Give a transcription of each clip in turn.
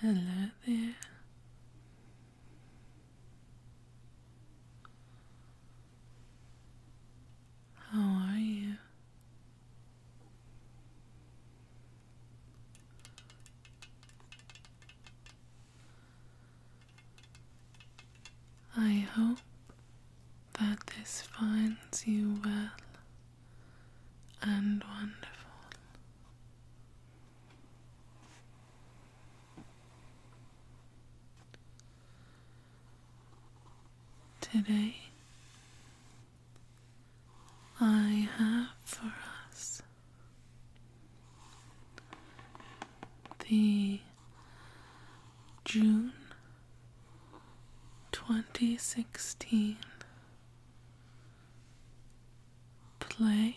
Hello there. How are you? I hope that this finds you well and wonderful. Today, I have for us the June 2016 play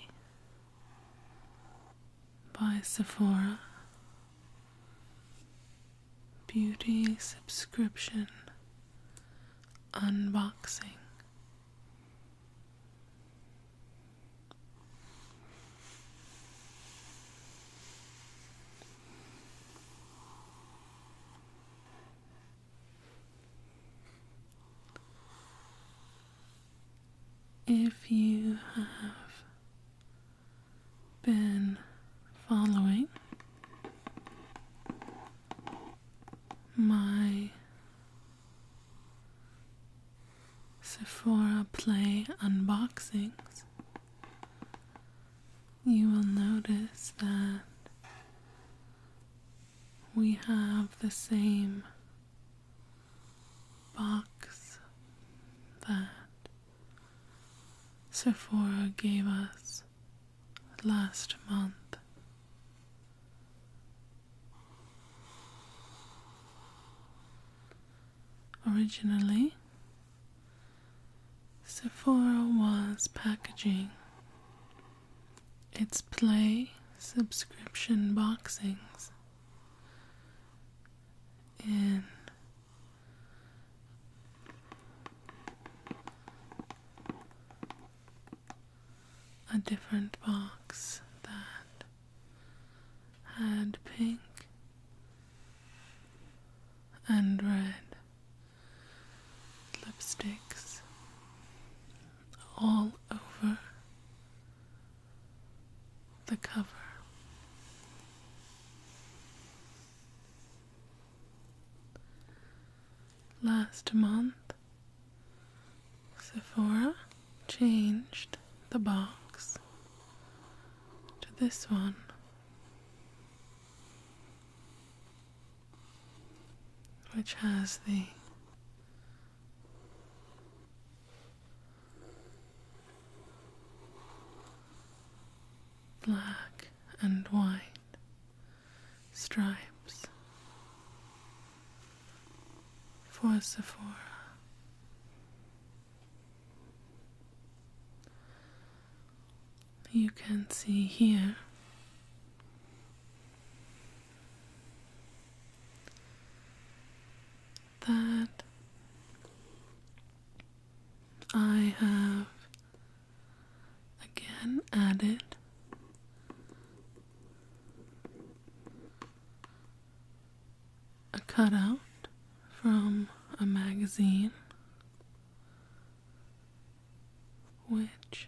by Sephora Beauty Subscription Unboxing. If you have been following my Sephora Play unboxings, you will notice that we have the same box that Sephora gave us last month. Originally, Sephora was packaging its play subscription boxings in a different box that had pink and red lipsticks all over the cover. Last month, Sephora changed the box to this one. Which has the black and white stripes for Sephora. You can see here that I have again added a cutout from a magazine which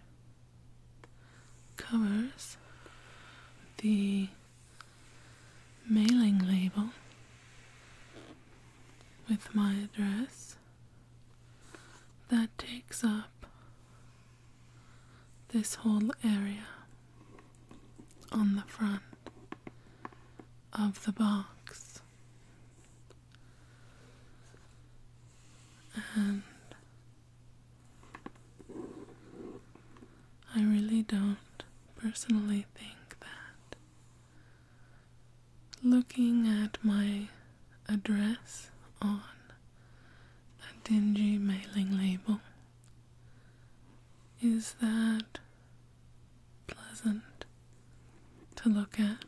covers the mailing label with my address that takes up this whole area on the front of the box. And I really don't personally think that looking at my address on that dingy mailing label. Is that pleasant to look at?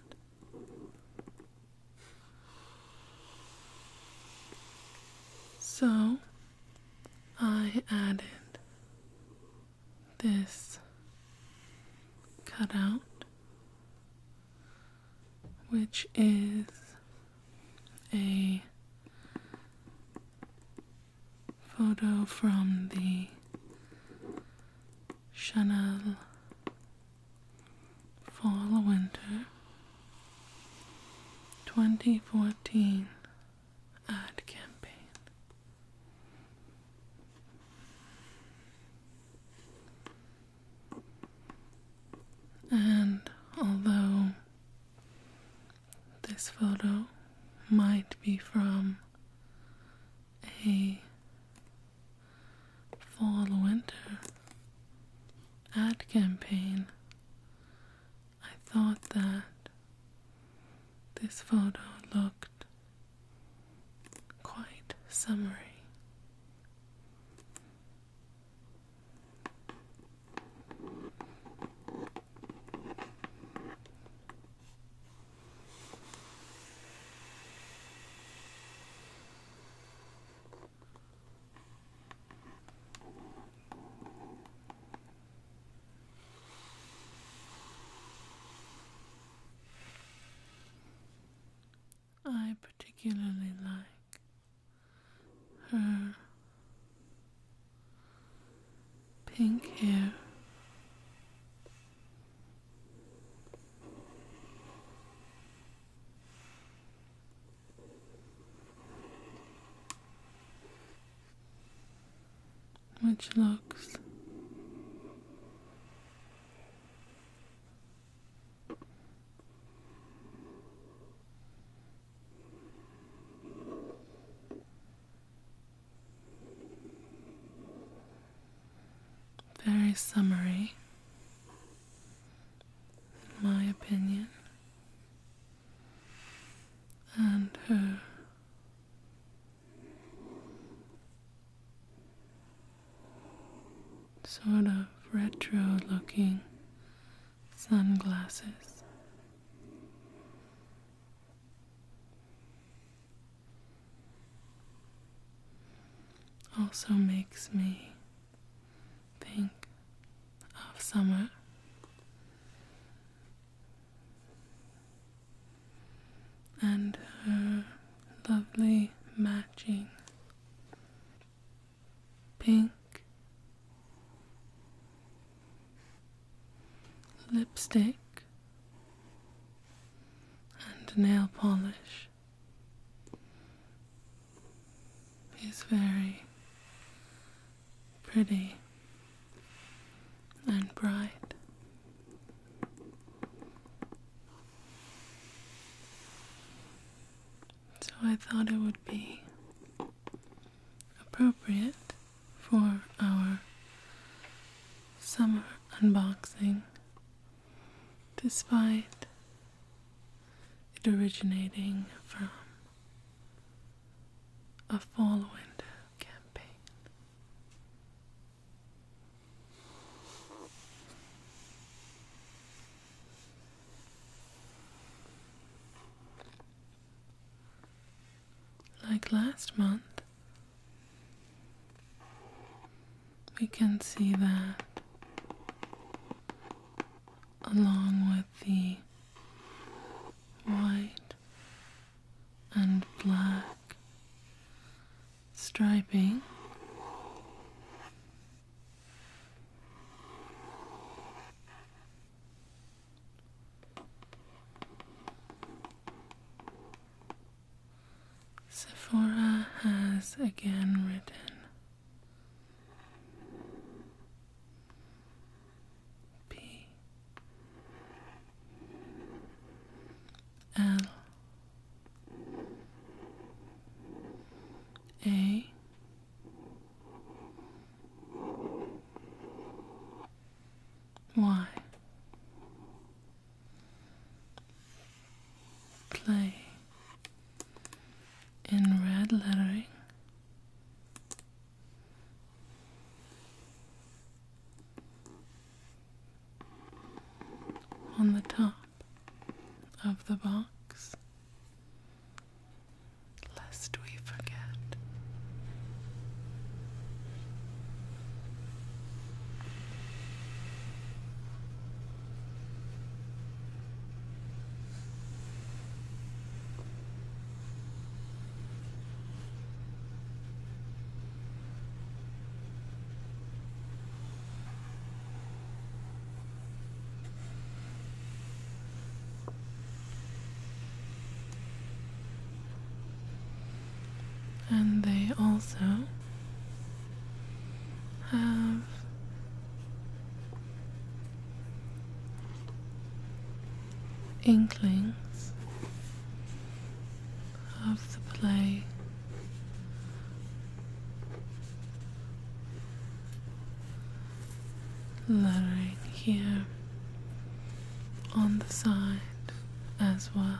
So I added this cutout, which is a photo from the Chanel Fall Winter 2014 ad campaign. And although this photo might be from a fall winter ad campaign. I thought that this photo looked quite summery. I particularly like her pink hair. Which looks very summary, in my opinion, and her sort of retro looking sunglasses. Also makes me think of summer. And her lovely matching pink lipstick and nail polish is very pretty and bright. So I thought it would be appropriate for our summer unboxing, despite it originating from a fall window campaign. Like last month, we can see that along with the white and black striping. Sephora has again written P L A why? Play in red lettering. On the top of the box lest we forget. And they also have inklings of the play lettering here on the side as well.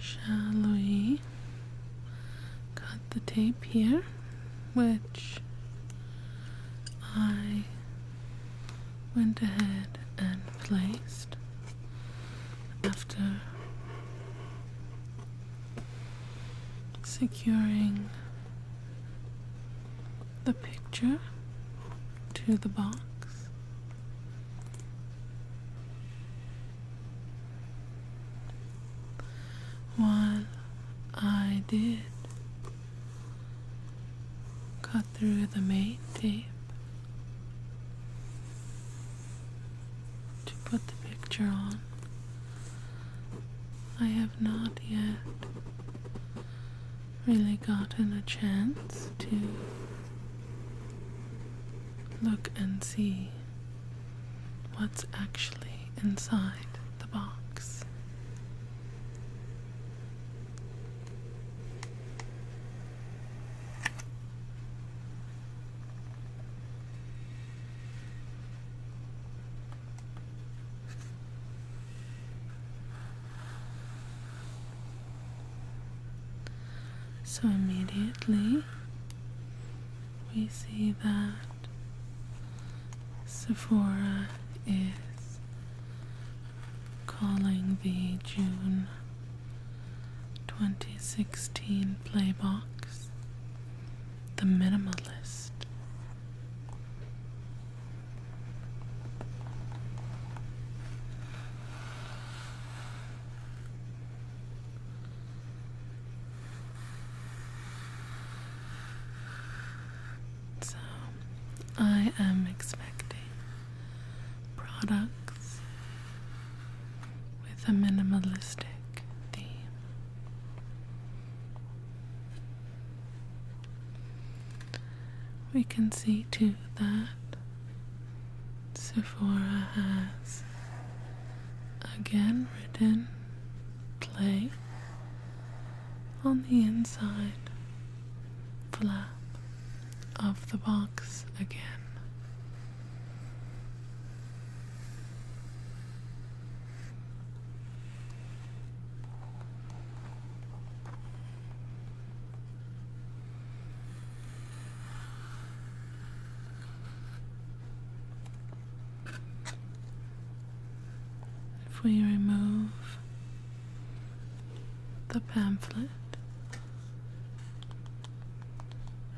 Shall cut the tape here, which I went ahead and placed after securing the picture to the box. While I did cut through the main tape, to put the picture on. I have not yet really gotten a chance to look and see what's actually inside the box. So immediately we see that Sephora is calling the June 2016 Playbox the Minimalist. So, I am expecting products with a minimalistic theme. We can see to that Sephora has again written play on the inside flap of the box again. If we remove the pamphlet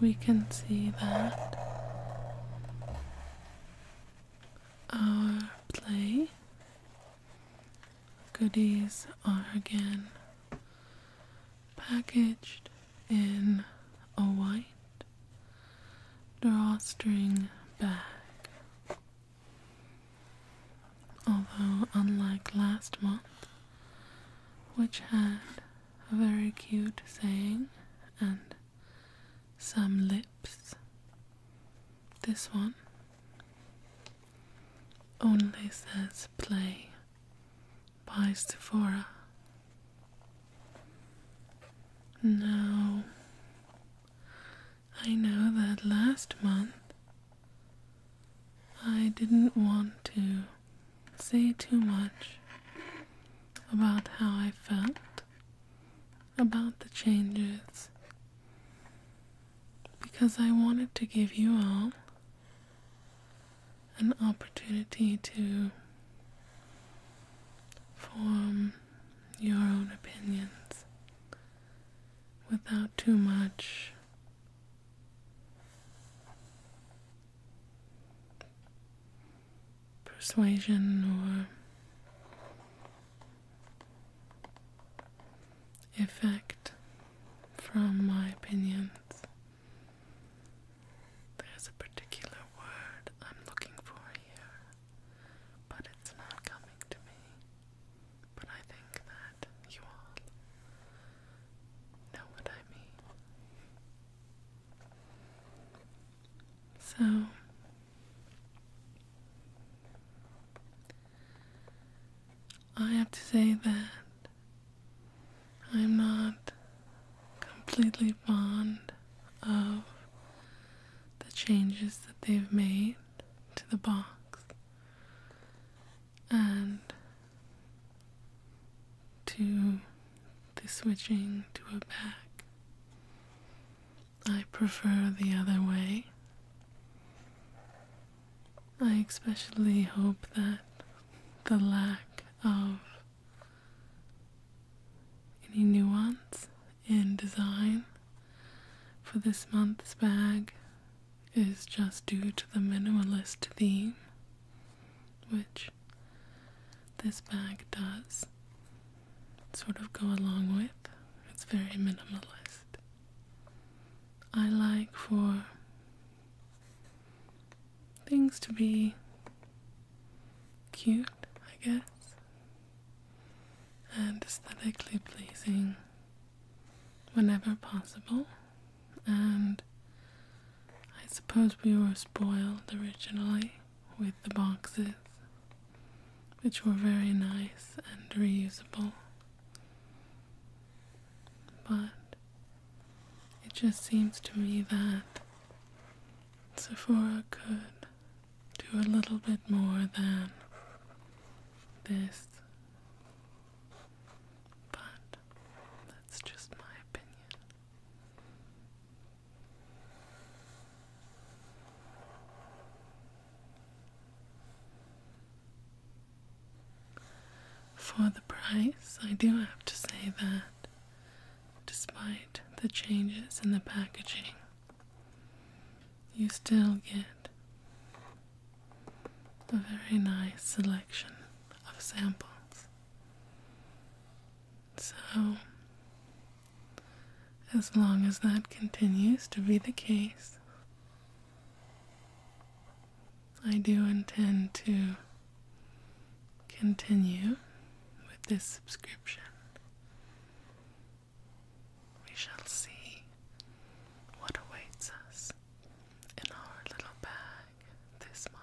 We can see that our play goodies are again packaged in a white drawstring bag. Although, unlike last month, which had a very cute saying and some lips, this one only says play by Sephora. Now, I know that last month I didn't want to say too much about how I felt about the changes because I wanted to give you all an opportunity to form your own opinions without too much persuasion or effect from my opinions. There's a particular word I'm looking for here, but it's not coming to me but I think that you all know what I mean. So, I have to say that I'm not completely fond of the changes that they've made to the box and to the switching to a back. I prefer the other way. I especially hope that the lack of any nuance in design for this month's bag is just due to the minimalist theme, which this bag does sort of go along with. It's very minimalist. I like for things to be cute, I guess, and aesthetically pleasing whenever possible, and I suppose we were spoiled originally with the boxes, which were very nice and reusable. But it just seems to me that Sephora could do a little bit more than this. But that's just my opinion. For the price, I do have to say that despite the changes in the packaging, you still get a very nice selection of samples. So, as long as that continues to be the case, I do intend to continue with this subscription we shall see what awaits us in our little bag this month.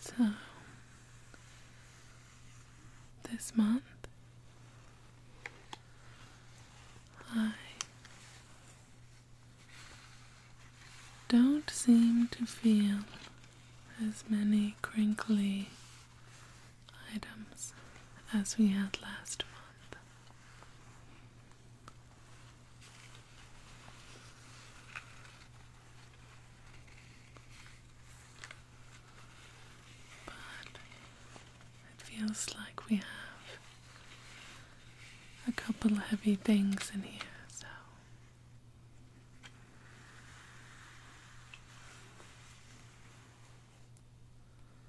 So, this month I don't seem to feel as many crinkly items as we had last month. But it feels like we have a couple heavy things in here, so.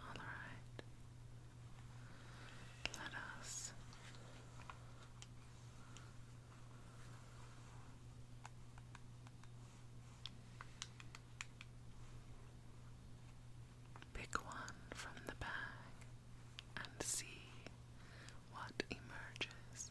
All right. Let us pick one from the bag and see what emerges.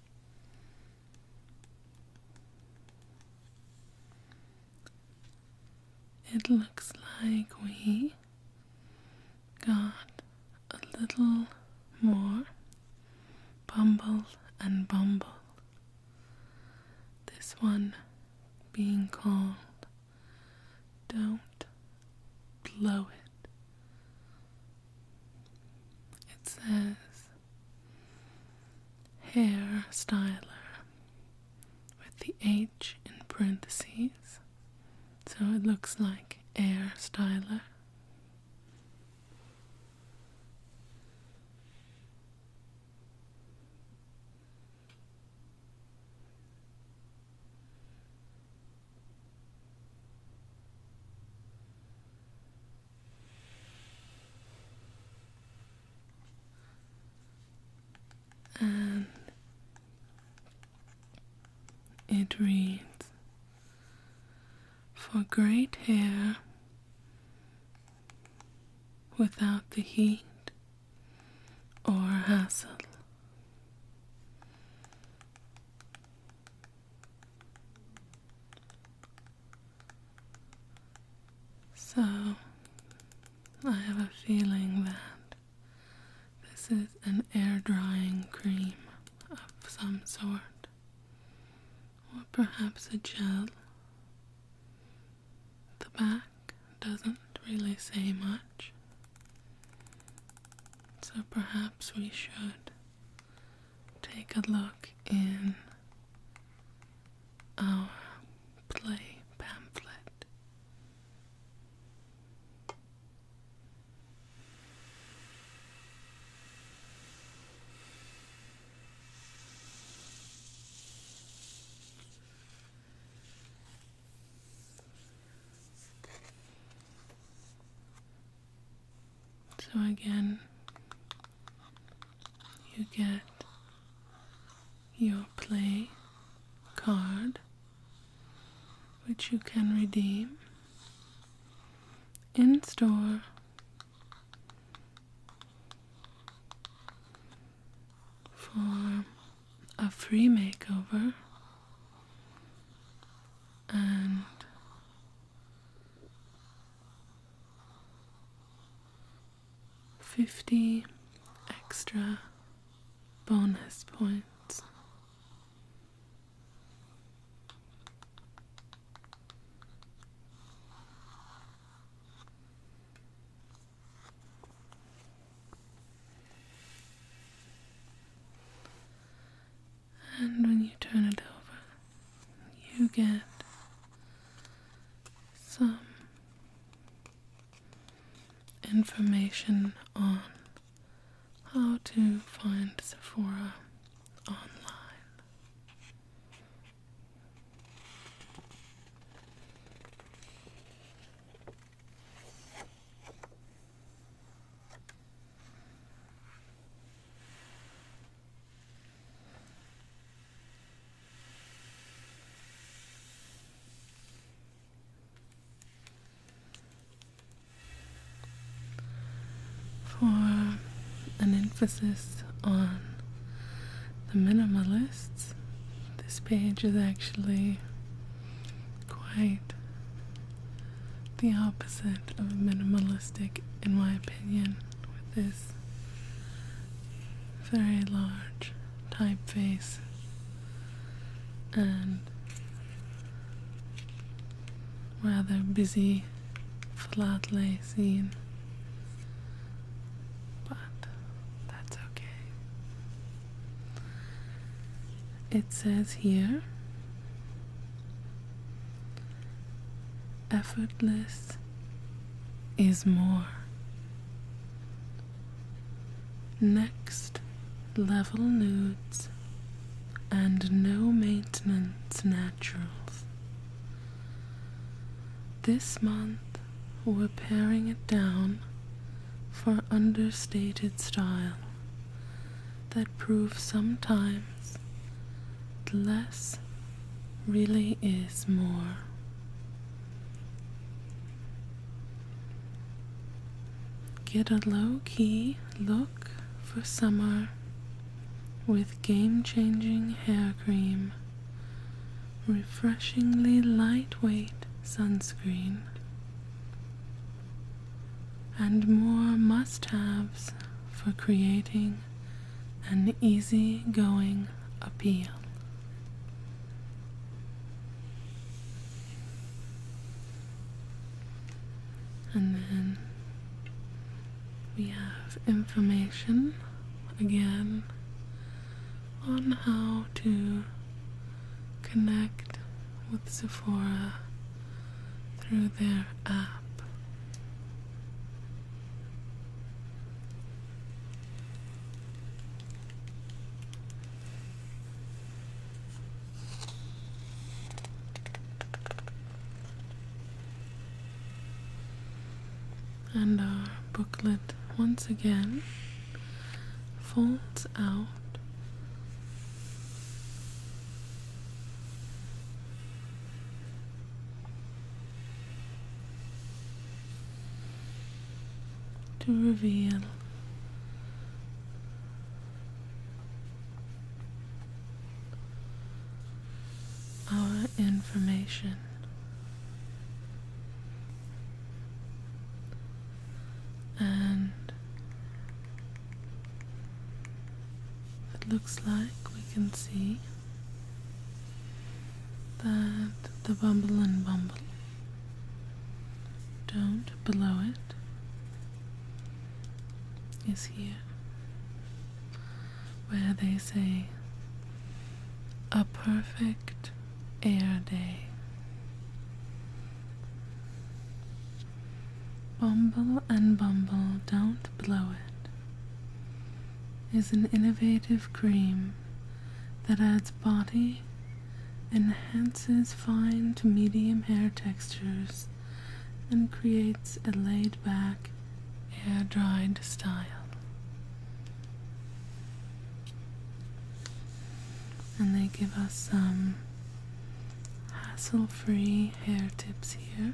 It looks like we got a little more bumble and bumble. This one being called Don't Blow It. It says hair styler with the H in parentheses, so it looks like hair styler. Um, it reads For great hair without the heat or hassle. So, I have a feeling that this is an air drying cream of some sort, or perhaps a gel. The back doesn't really say much, so perhaps we should take a look in our play pamphlet. So again, you get your play card, which you can redeem in store. For a free makeover and 50 extra bonus points. And when you turn it over, you get some information on how to find Sephora online for an emphasis on the minimalists. This page is actually quite the opposite of minimalistic, in my opinion, with very large typeface and rather busy flat lay But that's okay. It says here effortless is more. Next level nudes and no maintenance naturals. This month we're paring it down for understated style that proves sometime less really is more. Get a low key look for summer with game changing hair cream, refreshingly lightweight sunscreen, and more must haves for creating an easygoing appeal. And then we have information again on how to connect with Sephora through their app. And our booklet once again folds out to reveal our information. And it looks like we can see that the bumble and bumble don't blow it is here where they say a perfect air day. Bumble and bumble don't blow it is an innovative cream that adds body, enhances fine to medium hair textures, and creates a laid back, air dried style. And they give us some hassle free hair tips here.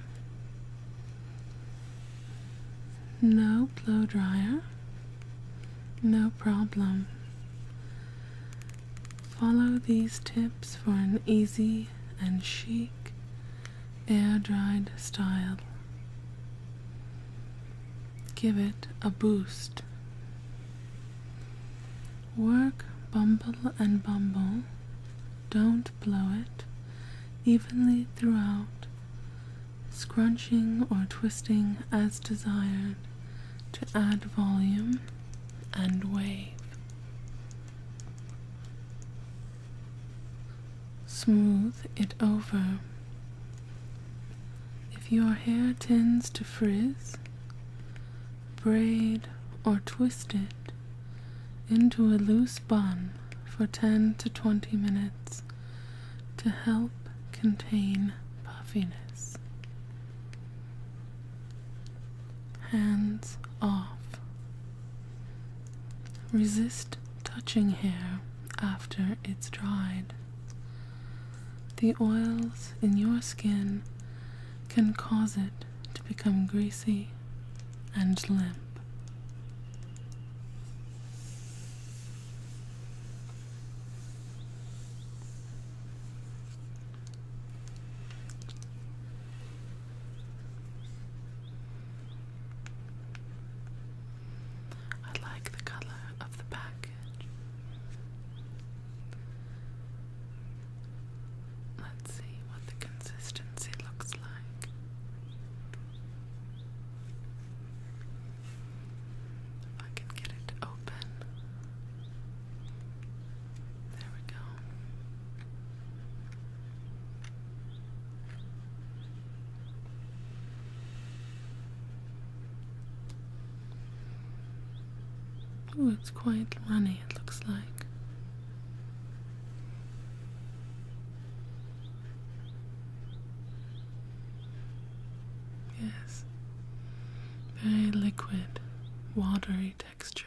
No blow dryer. No problem. Follow these tips for an easy and chic air dried style. Give it a boost. Work bumble and bumble don't blow it evenly throughout, scrunching or twisting as desired to add volume and wave. Smooth it over. If your hair tends to frizz, braid or twist it into a loose bun for 10 to 20 minutes to help contain puffiness. Hands off. Resist touching hair after it's dried. The oils in your skin can cause it to become greasy and limp. I like the color of the package. Let's see what the consistency looks like. If I can get it open. There we go. Oh, it's quite runny, it looks like. Yes, very liquid, watery texture.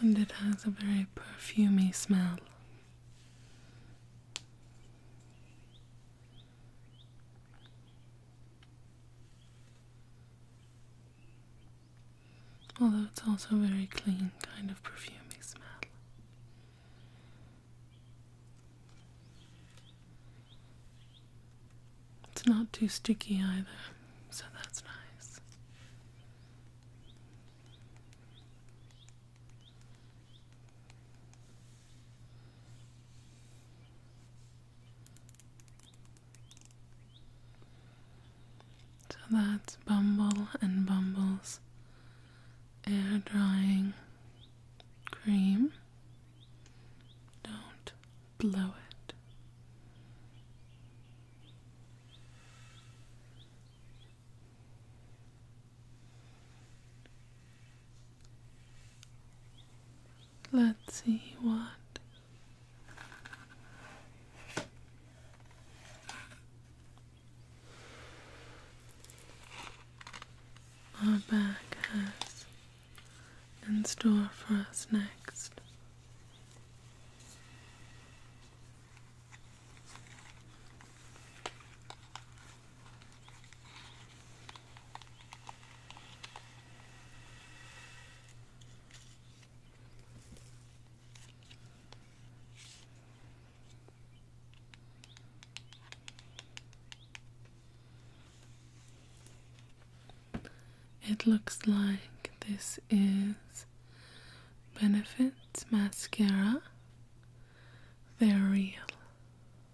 And it has a very perfumy smell. Although it's also a very clean kind of perfumy smell. It's not too sticky either, so that's nice. So that's Bumble and Bumble's air drying cream. Don't blow it. Let's see what. Our bag has in store for us next. It looks like this is Benefits Mascara. Very real.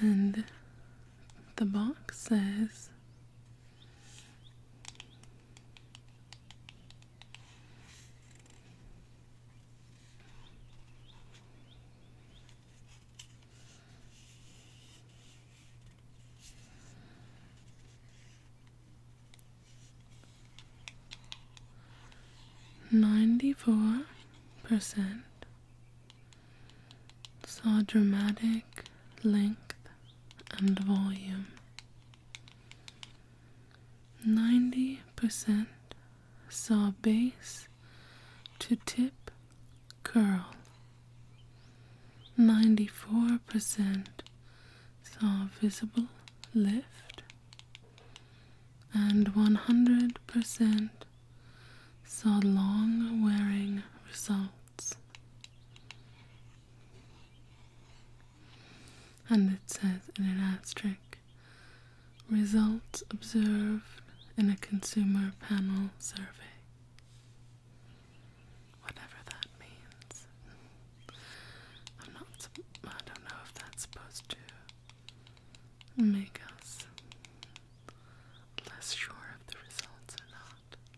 And the box says Ninety-four percent saw dramatic length and volume 90% saw base to tip curl. 94% saw visible lift. And 100% saw long wearing results. And it says in an asterisk results observed in a consumer panel survey. Whatever that means. I'm not, I don't know if that's supposed to make us less sure of the results or not.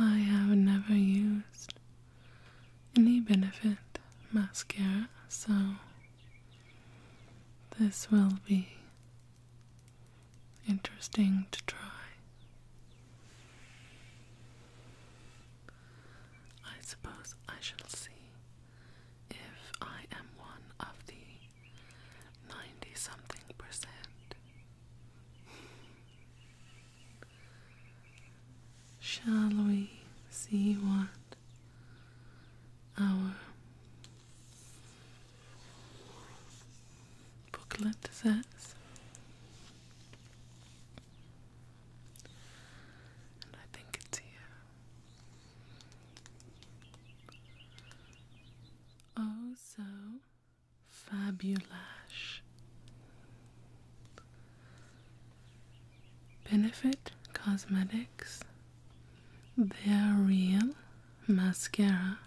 I have never used any benefit mascara, so this will be interesting to try. I suppose I shall see if I am one of the 90 something percent. Shall we see what our booklet says? And I think it's here. Oh, so fabulash. Benefit Cosmetics Their Real Mascara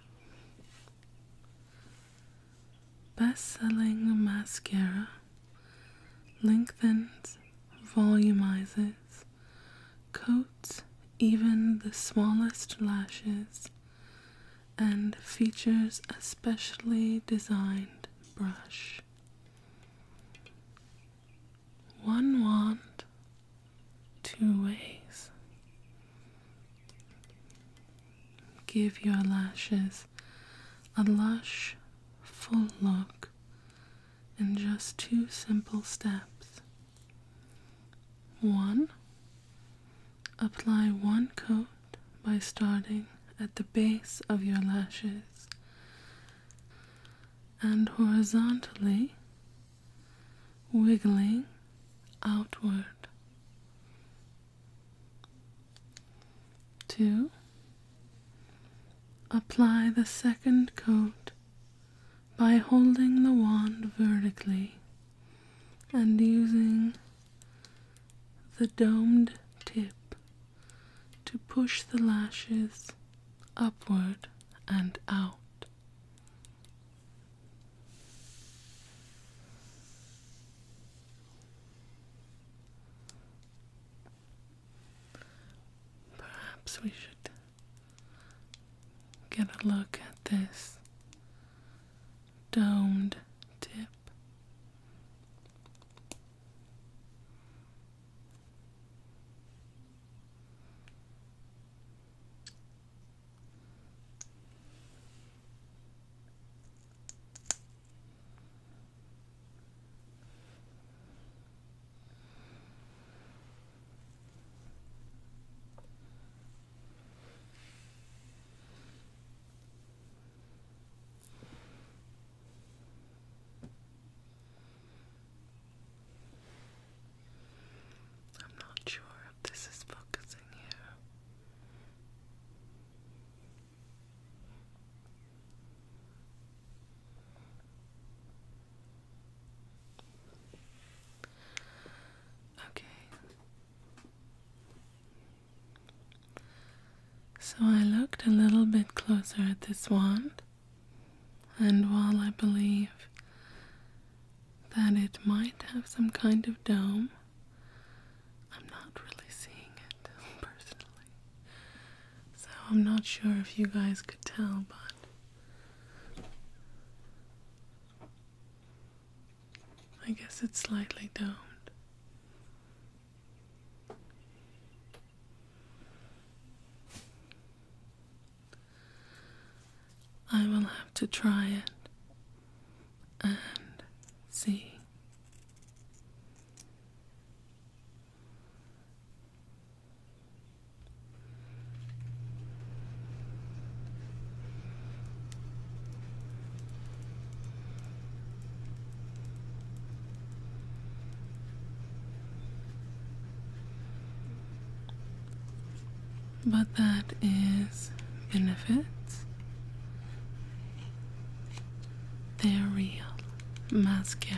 Best selling mascara lengthens, volumizes, coats even the smallest lashes, and features a specially designed brush. One wand, two ways. Give your lashes a lush, full look in just two simple steps. One, apply one coat by starting at the base of your lashes and horizontally wiggling outward. to apply the second coat by holding the wand vertically and using the domed tip to push the lashes upward and out. Perhaps we should get a look at this domed tip. I'm not sure if this is focusing here. Okay. So I looked a little bit closer at this wand, and while I believe that it might have some kind of dome, I'm not really seeing it personally. So I'm not sure if you guys could tell, but. I guess it's slightly domed. I will have to try it and see. But that is benefits. They're real mascara.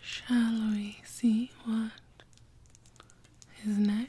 Shall we see what is next?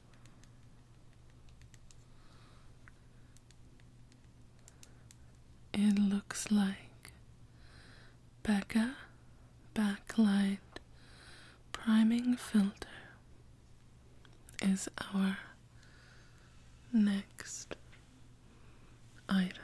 It looks like Becca Backlight Priming Filter is our next item.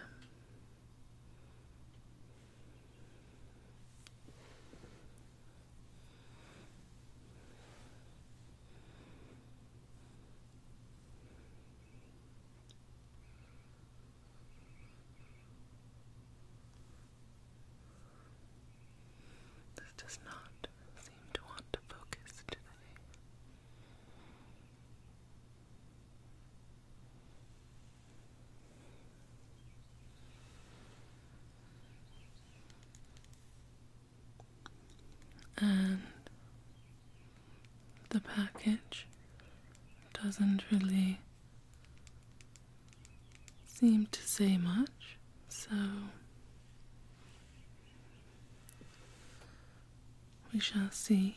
This does not seem to want to focus today and the package doesn't really seem to say much, so we shall see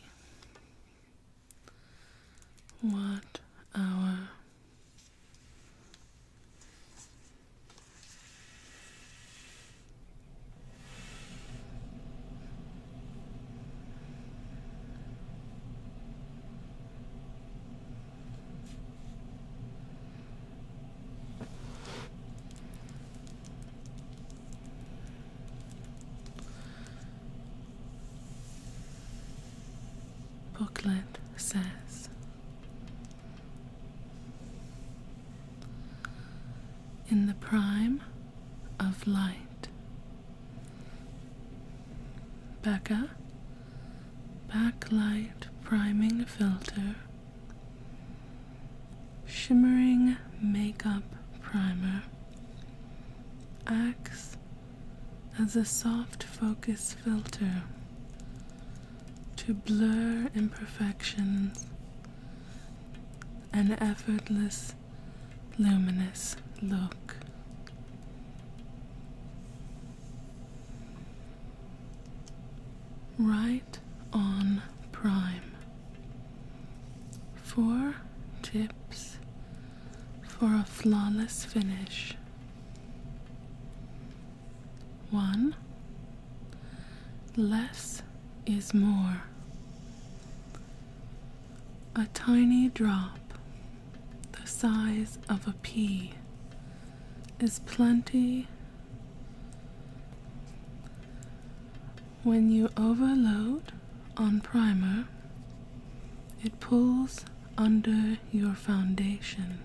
what our Booklet says in the prime of light. Becca Backlight Priming Filter Shimmering Makeup Primer acts as a soft focus filter to blur imperfections an effortless luminous look right on prime four tips for a flawless finish one, less is more. A tiny drop, the size of a pea, is plenty when you overload on primer. It pulls under your foundation.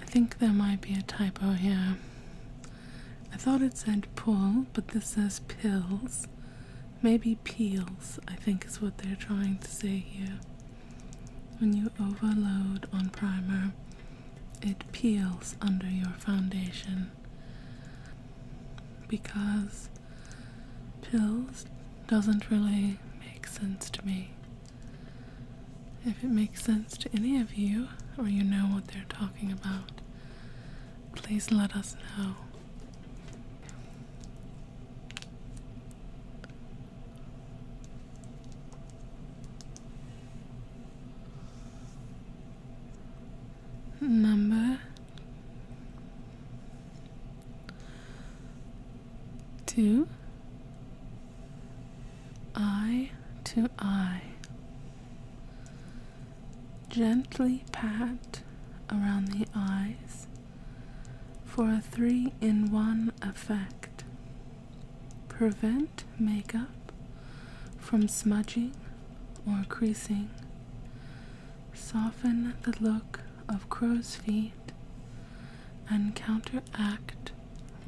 I think there might be a typo here. I thought it said pull, but this says pills. Maybe peels, I think is what they're trying to say here. When you overload on primer, it peels under your foundation because pills doesn't really make sense to me. If it makes sense to any of you, or you know what they're talking about, please let us know. Number two, eye to eye. Gently pat around the eyes for a three in one effect. Prevent makeup from smudging or creasing. Soften the look of crow's feet and counteract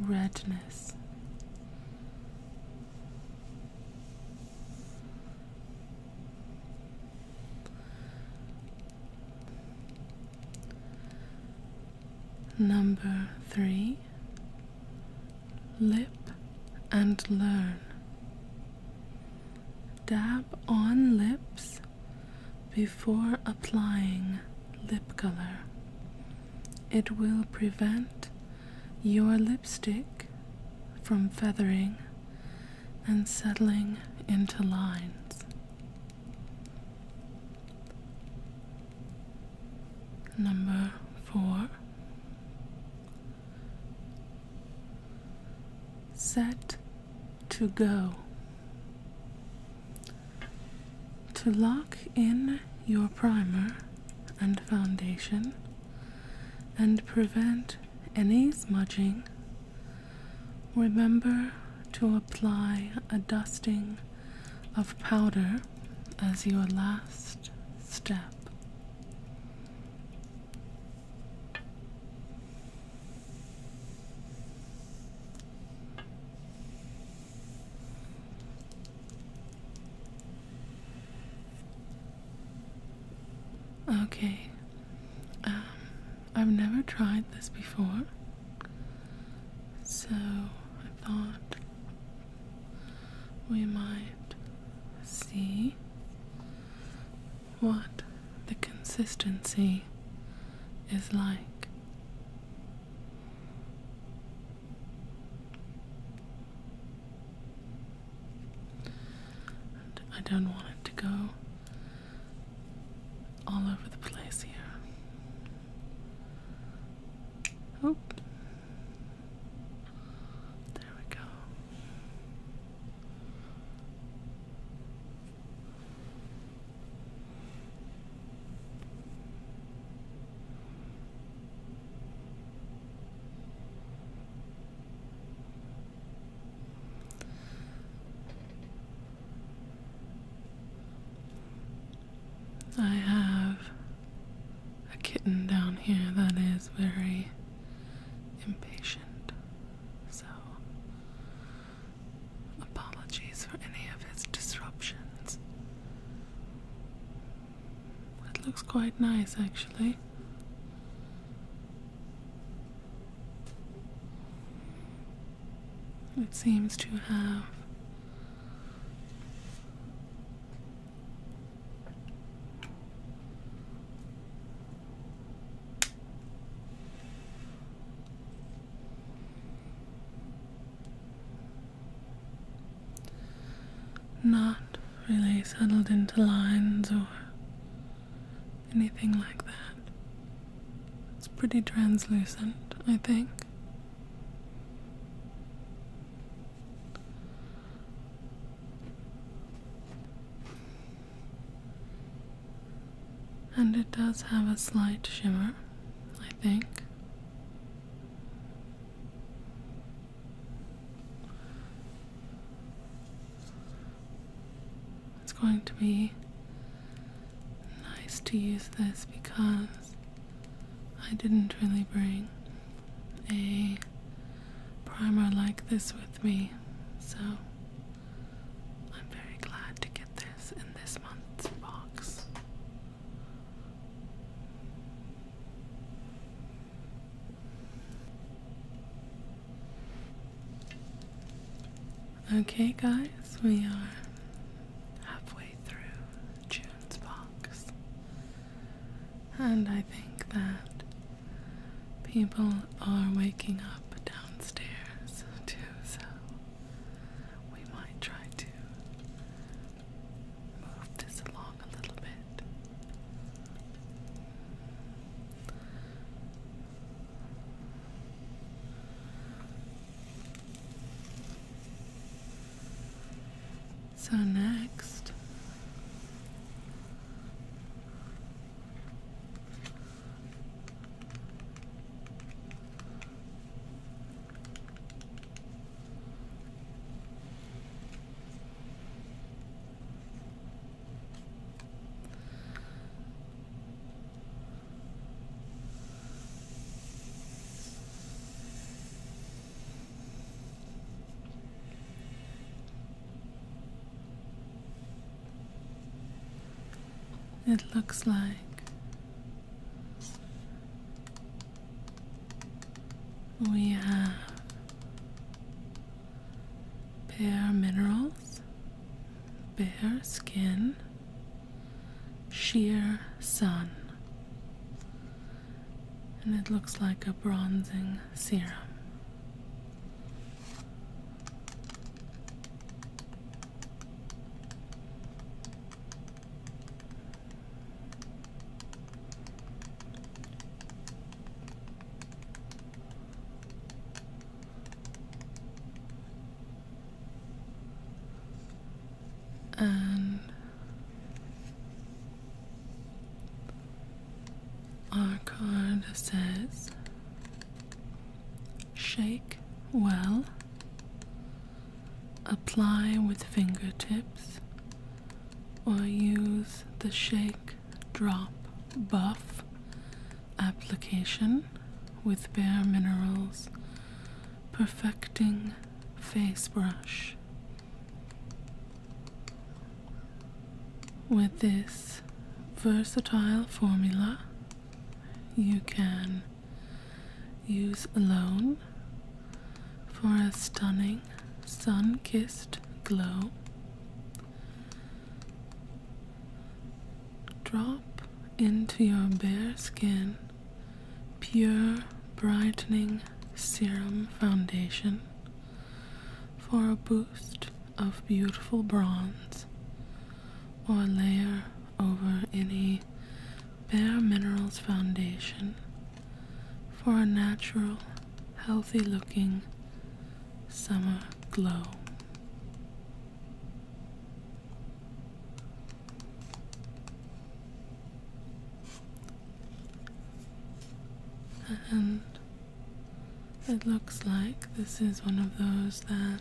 redness. Number three, lip and learn. Dab on lips before applying lip color. It will prevent your lipstick from feathering and settling into lines. Number four. Set to go. To lock in your primer and foundation and prevent any smudging. Remember to apply a dusting of powder as your last step. Okay, um, I've never tried this before, so I thought we might see what the consistency is like. I don't want it to go all over the place here. Oop. There we go. I have a kitten down here that is very impatient, so apologies for any of his disruptions. It looks quite nice actually. It seems to have not really settled into lines or anything like that. It's pretty translucent, I think. And it does have a slight shimmer, I think. It's going to be nice to use this because I didn't really bring a primer like this with me, so I'm very glad to get this in this month's box. Okay, guys, we are halfway through June's box, and I think that people are waking up downstairs too, so we might try to move this along a little bit. So next it looks like we have bare minerals Bare skin, sheer sun. And it looks like a bronzing serum and our card says shake well apply with fingertips or use the shake drop buff application with Bare Minerals Perfecting Face Brush. With this versatile formula, you can use alone for a stunning sun kissed glow. Drop into your bare skin pure brightening serum foundation for a boost of beautiful bronze or layer over any bare minerals foundation for a natural healthy looking summer glow and it looks like this is one of those that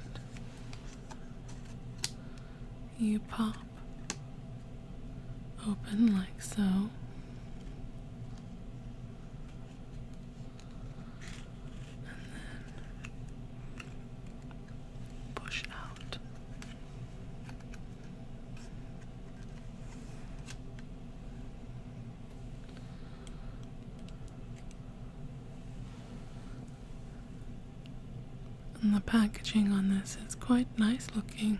you pop open like so and then push out. And the packaging on this is quite nice looking.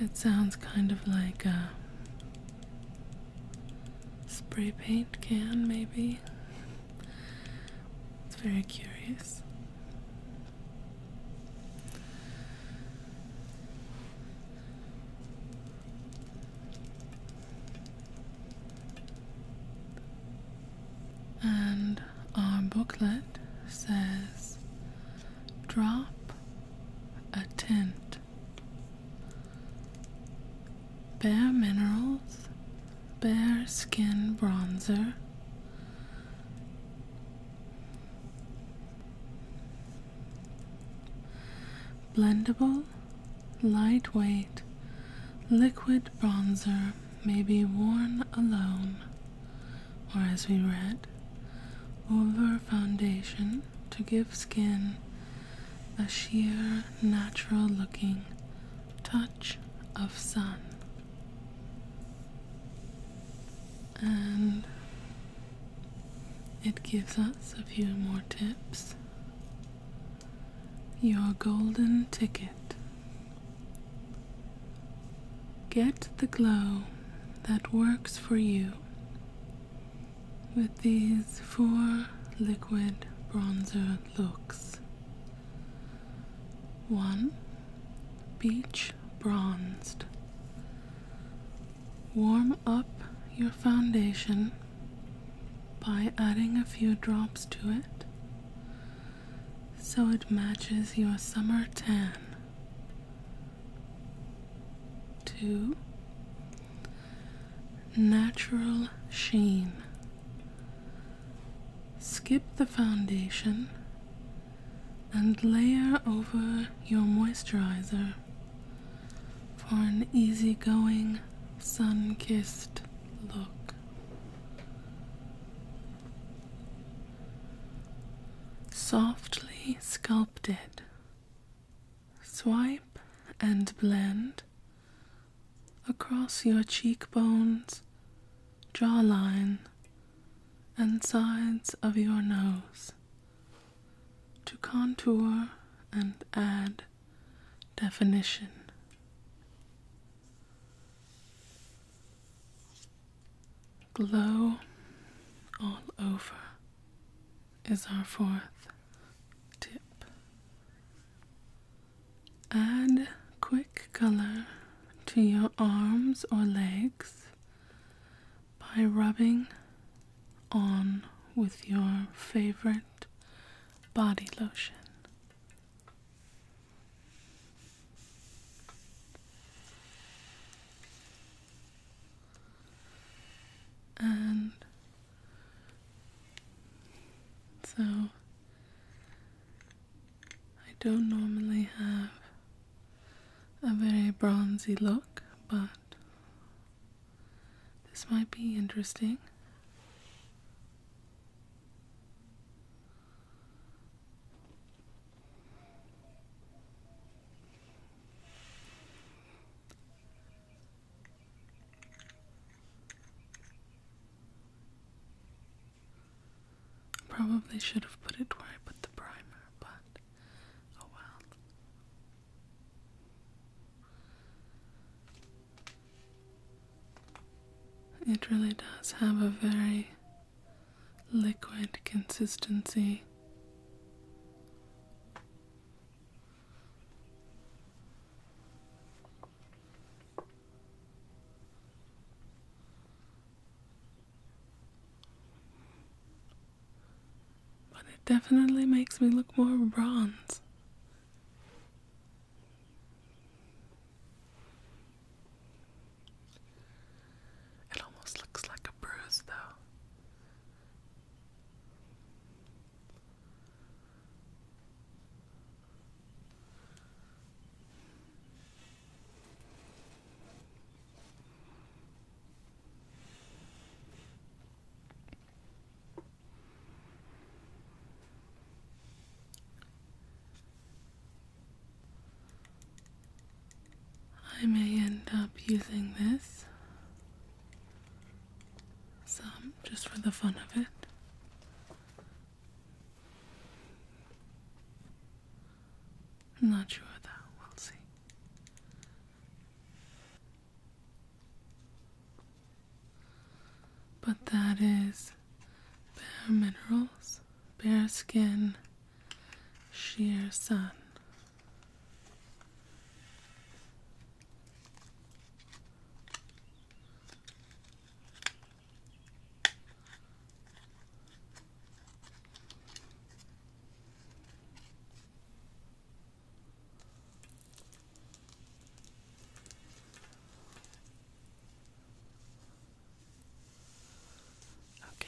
It sounds kind of like a spray paint can, maybe. It's very curious. And our booklet that says drop a tint. Bare Minerals Bare Skin Bronzer. Blendable, lightweight, liquid bronzer may be worn alone or as we read, over foundation to give skin a sheer, natural looking touch of sun. And it gives us a few more tips. Your golden ticket Get the glow that works for you with these four liquid bronzer looks. 1. Beach Bronzed. Warm up your foundation by adding a few drops to it so it matches your summer tan. To Natural Sheen. Skip the foundation and layer over your moisturizer for an easygoing, sun kissed look. Softly sculpted. Swipe and blend across your cheekbones, jawline, and sides of your nose to contour and add definition. Glow all over is our fourth tip. Add quick color to your arms or legs by rubbing on with your favorite body lotion. And so I don't normally have a very bronzy look, but this might be interesting. Probably should have put it where I put the primer, but oh well. It really does have a very liquid consistency. But it definitely makes me look more bronze. It almost looks like a bruise, though. I may end up using this just for the fun of it. I'm not sure though, we'll see. But that is Bare minerals, bare skin, sheer sun. Okay.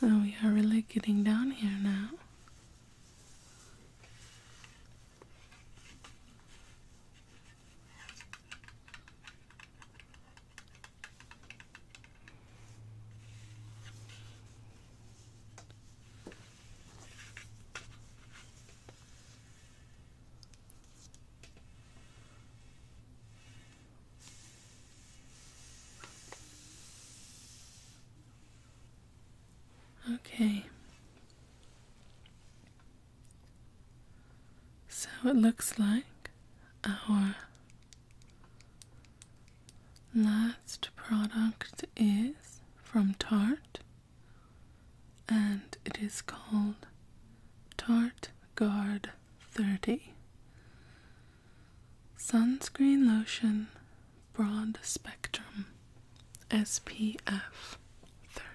So we are really getting down here now. Okay. So it looks like our last product is from Tarte and it is called Tarte Guard 30 Sunscreen Lotion Broad Spectrum SPF 30.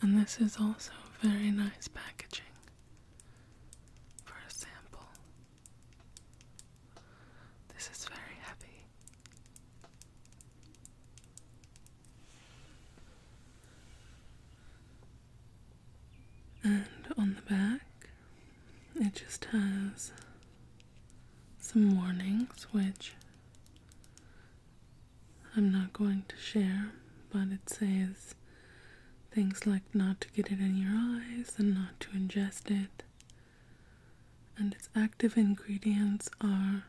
And this is also very nice packaging for a sample. This is very heavy. And on the back, it just has some warnings, which I'm not going to share, but it says things like not to get it in your eyes and not to ingest it. And its active ingredients are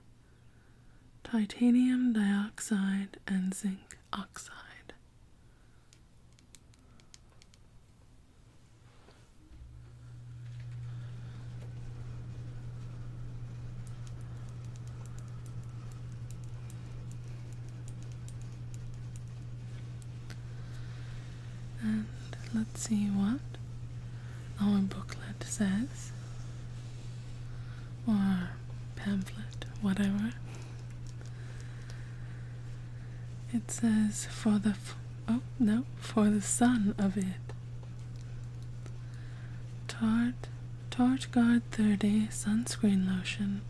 titanium dioxide and zinc oxide. And let's see what our booklet says, or pamphlet, whatever. It says, "For the oh no, for the son of it, Tarte, Tarte Guard 30 Sunscreen Lotion,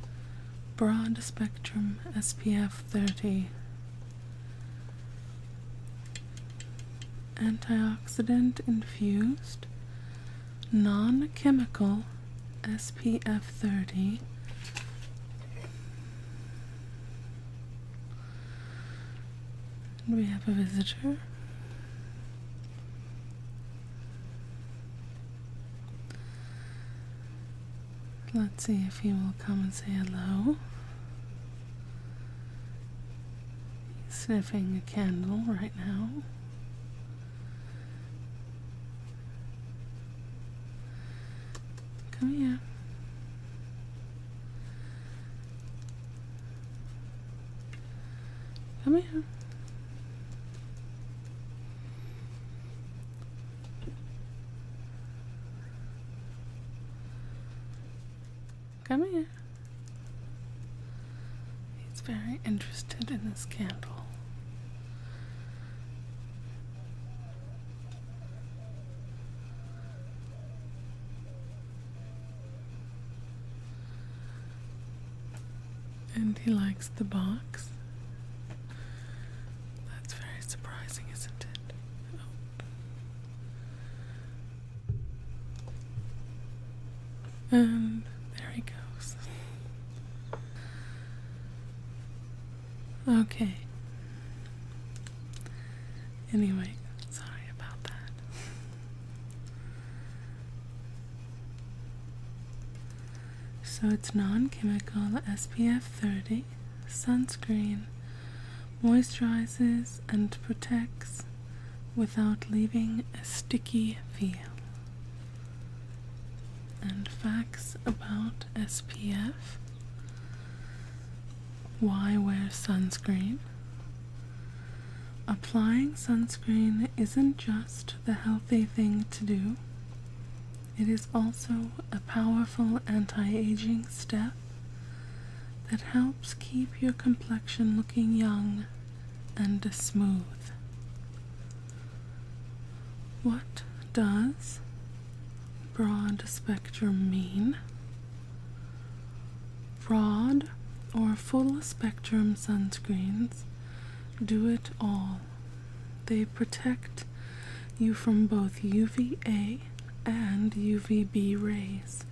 Broad Spectrum SPF 30. Antioxidant infused, non chemical SPF 30. We have a visitor. Let's see if he will come and say hello. He's sniffing a candle right now. Come here. Come here. Come here. He's very interested in this candle. And he likes the box. That's very surprising, isn't it? Oh. And there he goes. Okay. Anyway, sorry about that. So it's non chemical SPF 30, sunscreen, moisturizes and protects without leaving a sticky feel. And facts about SPF why wear sunscreen? Applying sunscreen isn't just the healthy thing to do, it is also a powerful anti aging step that helps keep your complexion looking young and smooth. What does broad spectrum mean? Broad or full spectrum sunscreens do it all. They protect you from both UVA and UVB rays,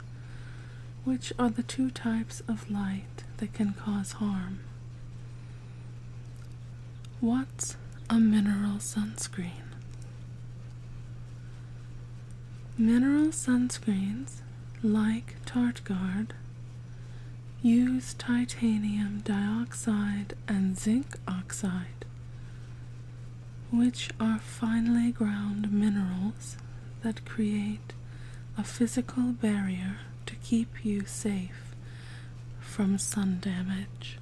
which are the two types of light that can cause harm. What's a mineral sunscreen? Mineral sunscreens like Tarte TartGuard use titanium dioxide and zinc oxide, which are finely ground minerals that create a physical barrier to keep you safe from sun damage.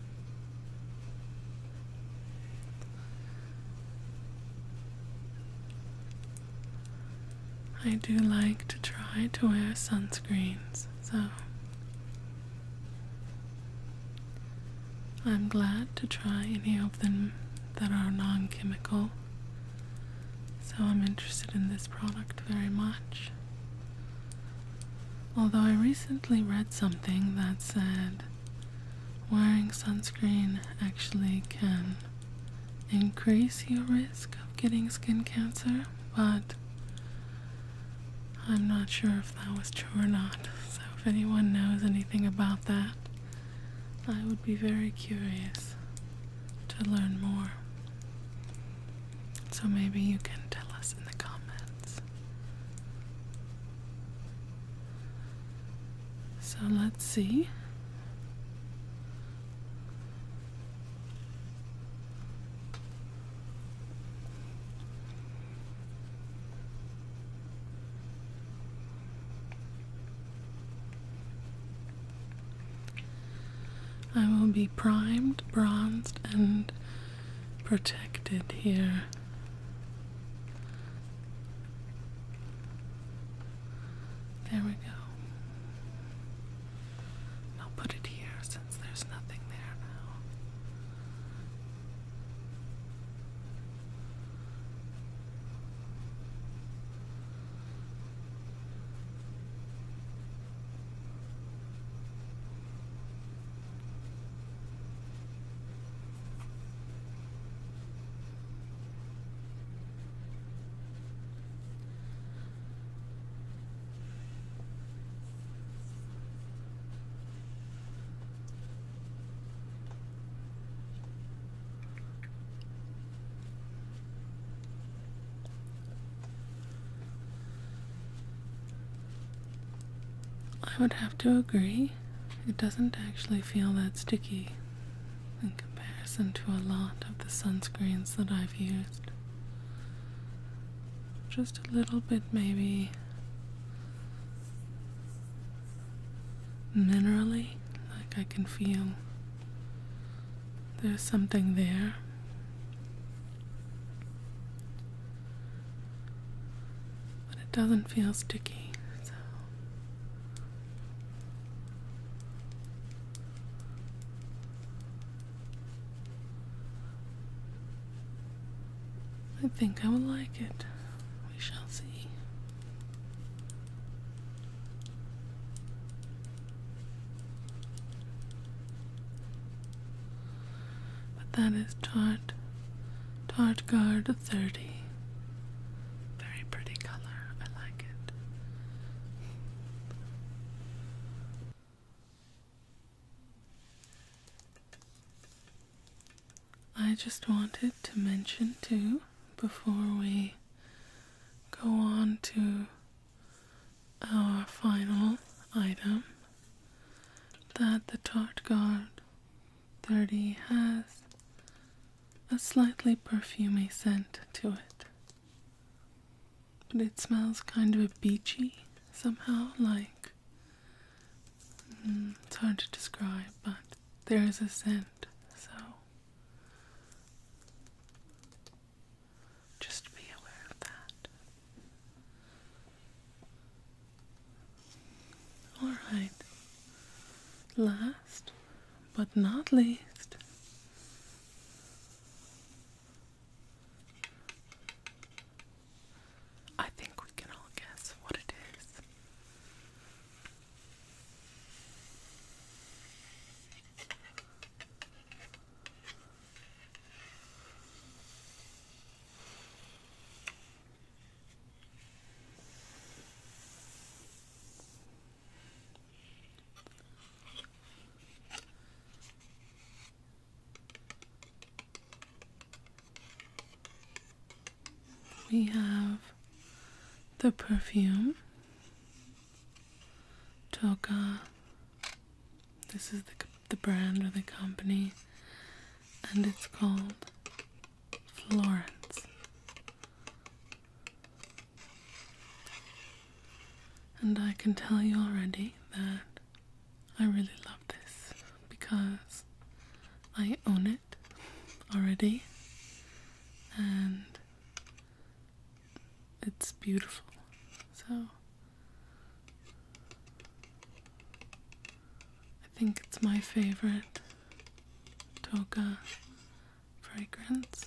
I do like to try to wear sunscreens, so I'm glad to try any of them that are non chemical. So I'm interested in this product very much. Although I recently read something that said wearing sunscreen actually can increase your risk of getting skin cancer, but I'm not sure if that was true or not. So, if anyone knows anything about that, I would be very curious to learn more. So, maybe you can tell us in the comments. So let's see. I will be primed, bronzed, and protected here. There we go. I'll put it here since there's nothing there now. I would have to agree. It doesn't actually feel that sticky in comparison to a lot of the sunscreens that I've used. Just a little bit, maybe minerally, like I can feel there's something there. But it doesn't feel sticky, I think I would like it. We shall see. But that is Tart Tart Guard 30. Very pretty color. I like I just wanted to mention too before we go on to our final item that the Tart Guard 30 has a slightly perfumy scent to it. But it smells kind of beachy somehow, like mm, it's hard to describe, but there is a scent, so just be aware of that. Alright, last but not least, I think we can all guess what it is. We have the perfume Toka. This is the brand or the company, and it's called Florence. And I can tell you already that I really love this because I own it already and it's beautiful. So I think it's my favorite toga fragrance.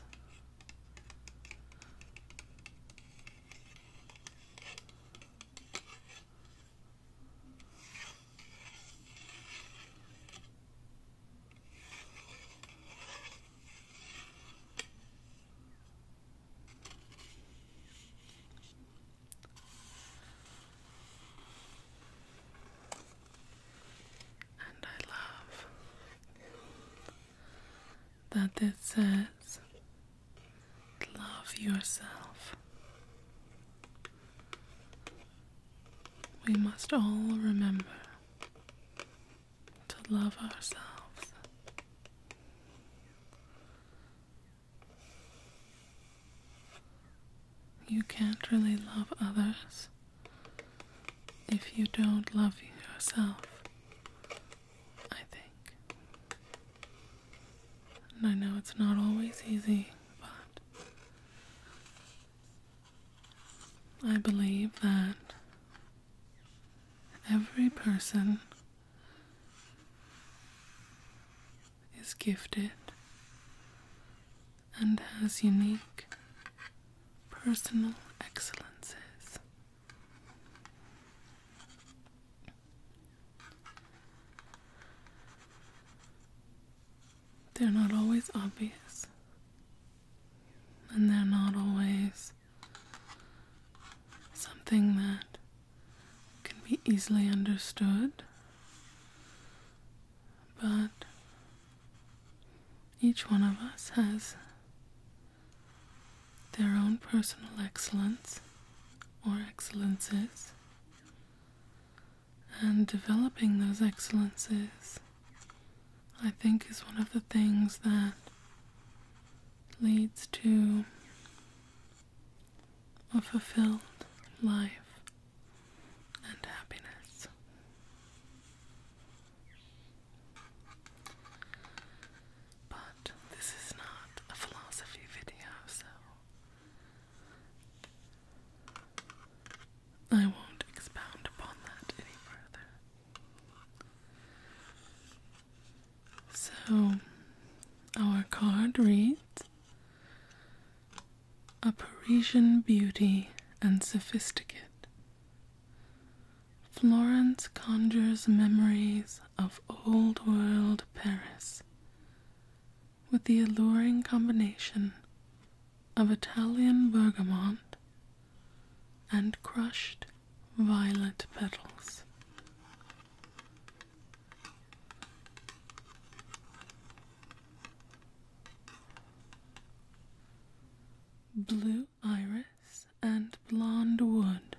And I love that this says, Love yourself. We must all remember to love ourselves. You can't really love others if you don't love yourself, I think. And I know it's not always easy, but I believe that every person is gifted and has unique personal excellences. They're not always obvious, and they're not always something that can be easily understood but each one of us has their own personal excellence or excellences, and developing those excellences, I think, is one of the things that leads to a fulfilled life and happiness. But this is not a philosophy video, so I won't expound upon that any further. So, our card reads A Parisian beauty and sophisticate Florence conjures memories of old world Paris with the alluring combination of Italian bergamot and crushed violet petals blue iris, and blonde wood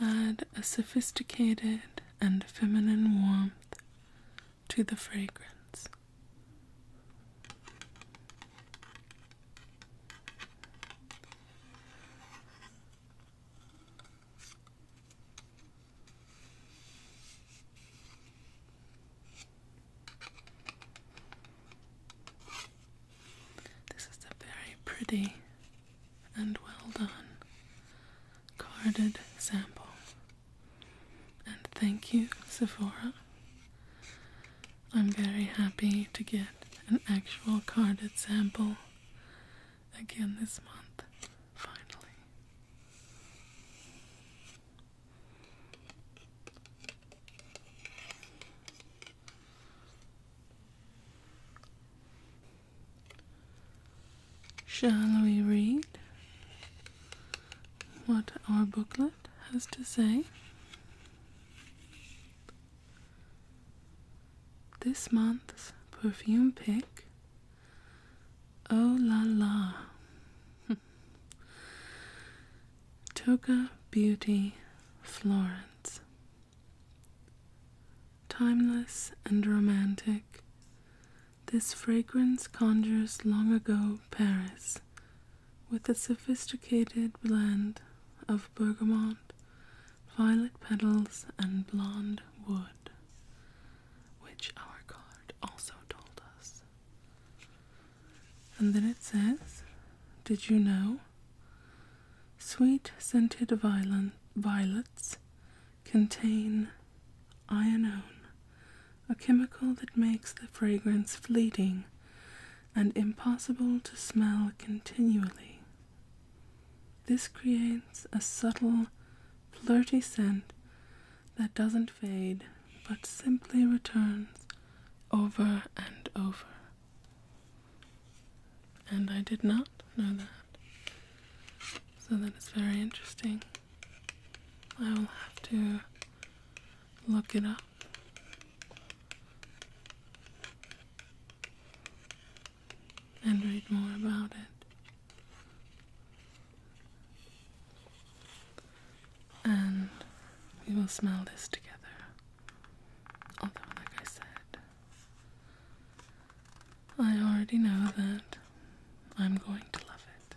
add a sophisticated and feminine warmth to the fragrance. This is a very pretty and well done carded sample. And thank you, Sephora. I'm very happy to get an actual carded sample again this month, finally. Shall we read what our booklet has to say? This month's perfume pick Oh La La. Toga Beauty Florence. Timeless and romantic, this fragrance conjures long ago Paris with a sophisticated blend of bergamot, violet petals, and blonde wood, which our card also told us and then it says, Did you know? Sweet scented violets contain ionone, a chemical that makes the fragrance fleeting and impossible to smell continually. This creates a subtle, flirty scent that doesn't fade but simply returns over and over. And I did not know that. So that is very interesting. I will have to look it up. And read more about it and we will smell this together. Although, like I said, I already know that I'm going to love it.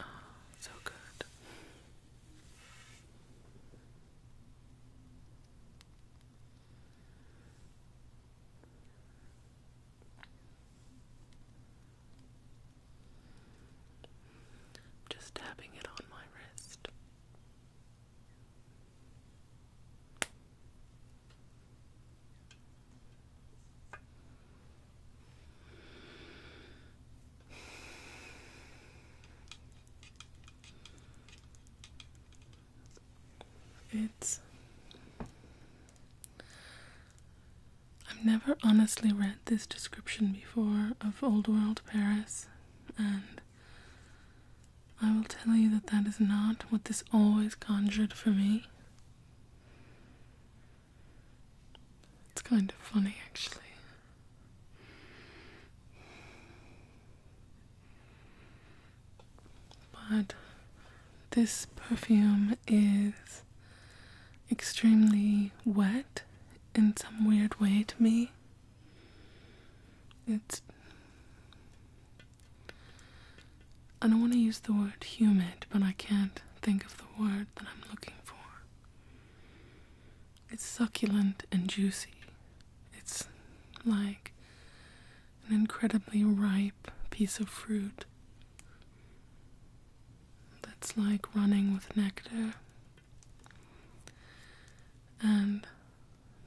Oh, so good. Just tapping it on my wrist. It's. I've never honestly read this description before of Old World Paris, and I will tell you that that is not what this always conjured for me. It's kind of funny, actually. But this perfume is extremely wet in some weird way to me. It's. I don't want to use the word humid, but I can't think of the word that I'm looking for. It's succulent and juicy. It's like an incredibly ripe piece of fruit that's like running with nectar. And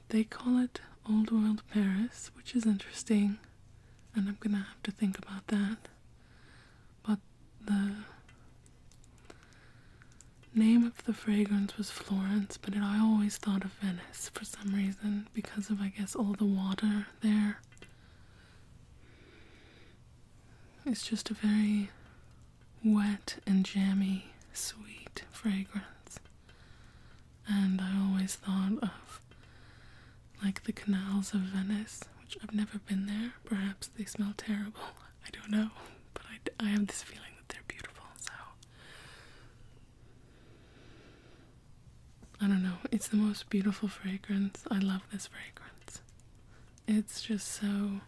they call it Old World Paris, which is interesting, and I'm gonna have to think about that. But the name of the fragrance was Florence, but I always thought of Venice for some reason because of, I guess, all the water there. It's just a very wet and jammy, sweet fragrance. And I always thought of like the canals of Venice, which I've never been there. Perhaps they smell terrible. I don't know, but I, I have this feeling that they're beautiful, so. I don't know, it's the most beautiful fragrance. I love this fragrance. It's just so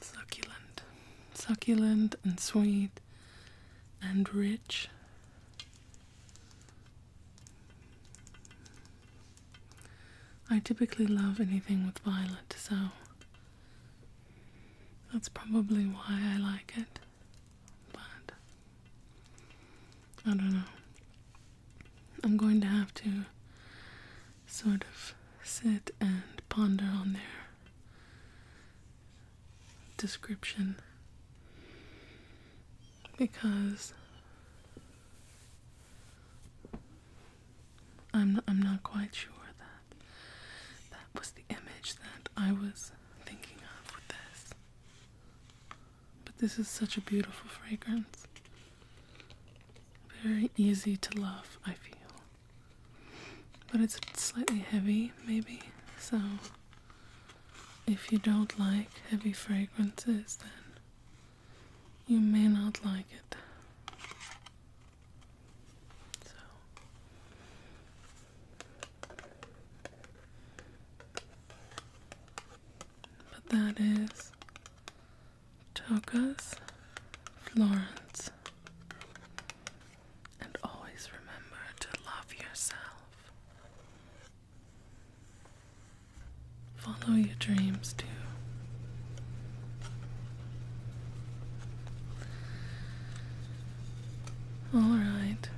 succulent. Succulent and sweet and rich. I typically love anything with violet, so that's probably why I like it. But I don't know. I'm going to have to sort of sit and ponder on their description because I'm I'm not quite sure that that was the image that I was thinking of with this. But this is such a beautiful fragrance. Very easy to love, I feel. But it's slightly heavy, maybe. So if you don't like heavy fragrances, then you may not like it. but that is Togas Florence. And always remember to love yourself. Follow your dreams too. Alright,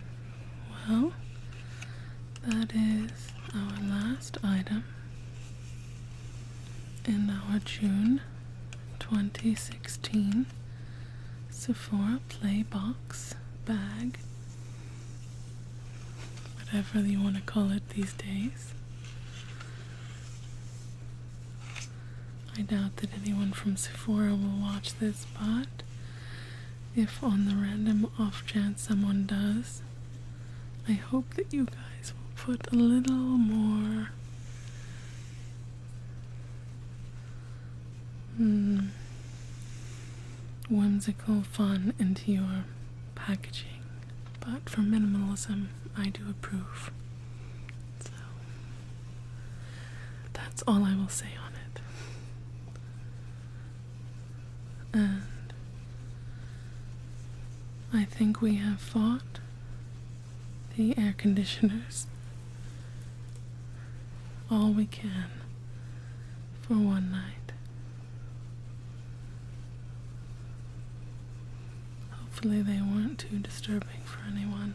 well, that is our last item in our June 2016 Sephora Play Box bag whatever you want to call it these days. I doubt that anyone from Sephora will watch this, but if on the random off chance someone does, I hope that you guys will put a little more. Hmm, whimsical fun into your packaging, but for minimalism, I do approve. So that's all I will say on it. And I think we have fought the air conditioners all we can for one night. Hopefully, they weren't too disturbing for anyone.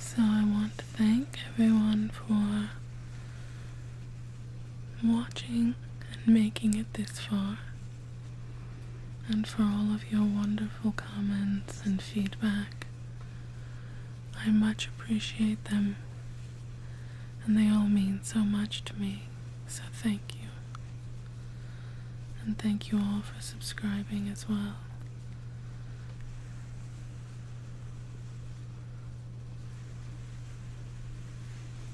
So, I want to thank everyone for watching and making it this far and for all of your wonderful comments and feedback. I much appreciate them, and they all mean so much to me, so thank you. And thank you all for subscribing as well.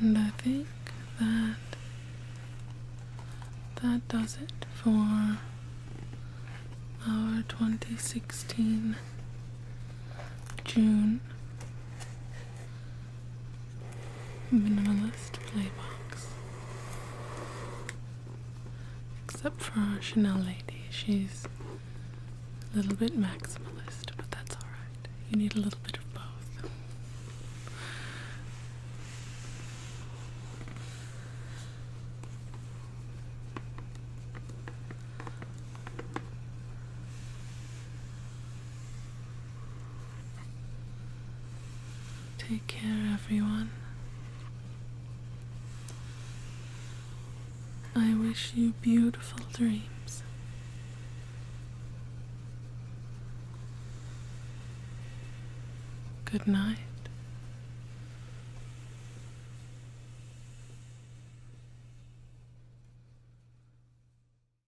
And I think that that does it for our 2016 June minimalist playbox, Except for our Chanel lady, she's a little bit maximalist, but that's alright. You need a little bit of both. Take care, everyone. I wish you beautiful dreams. Good night.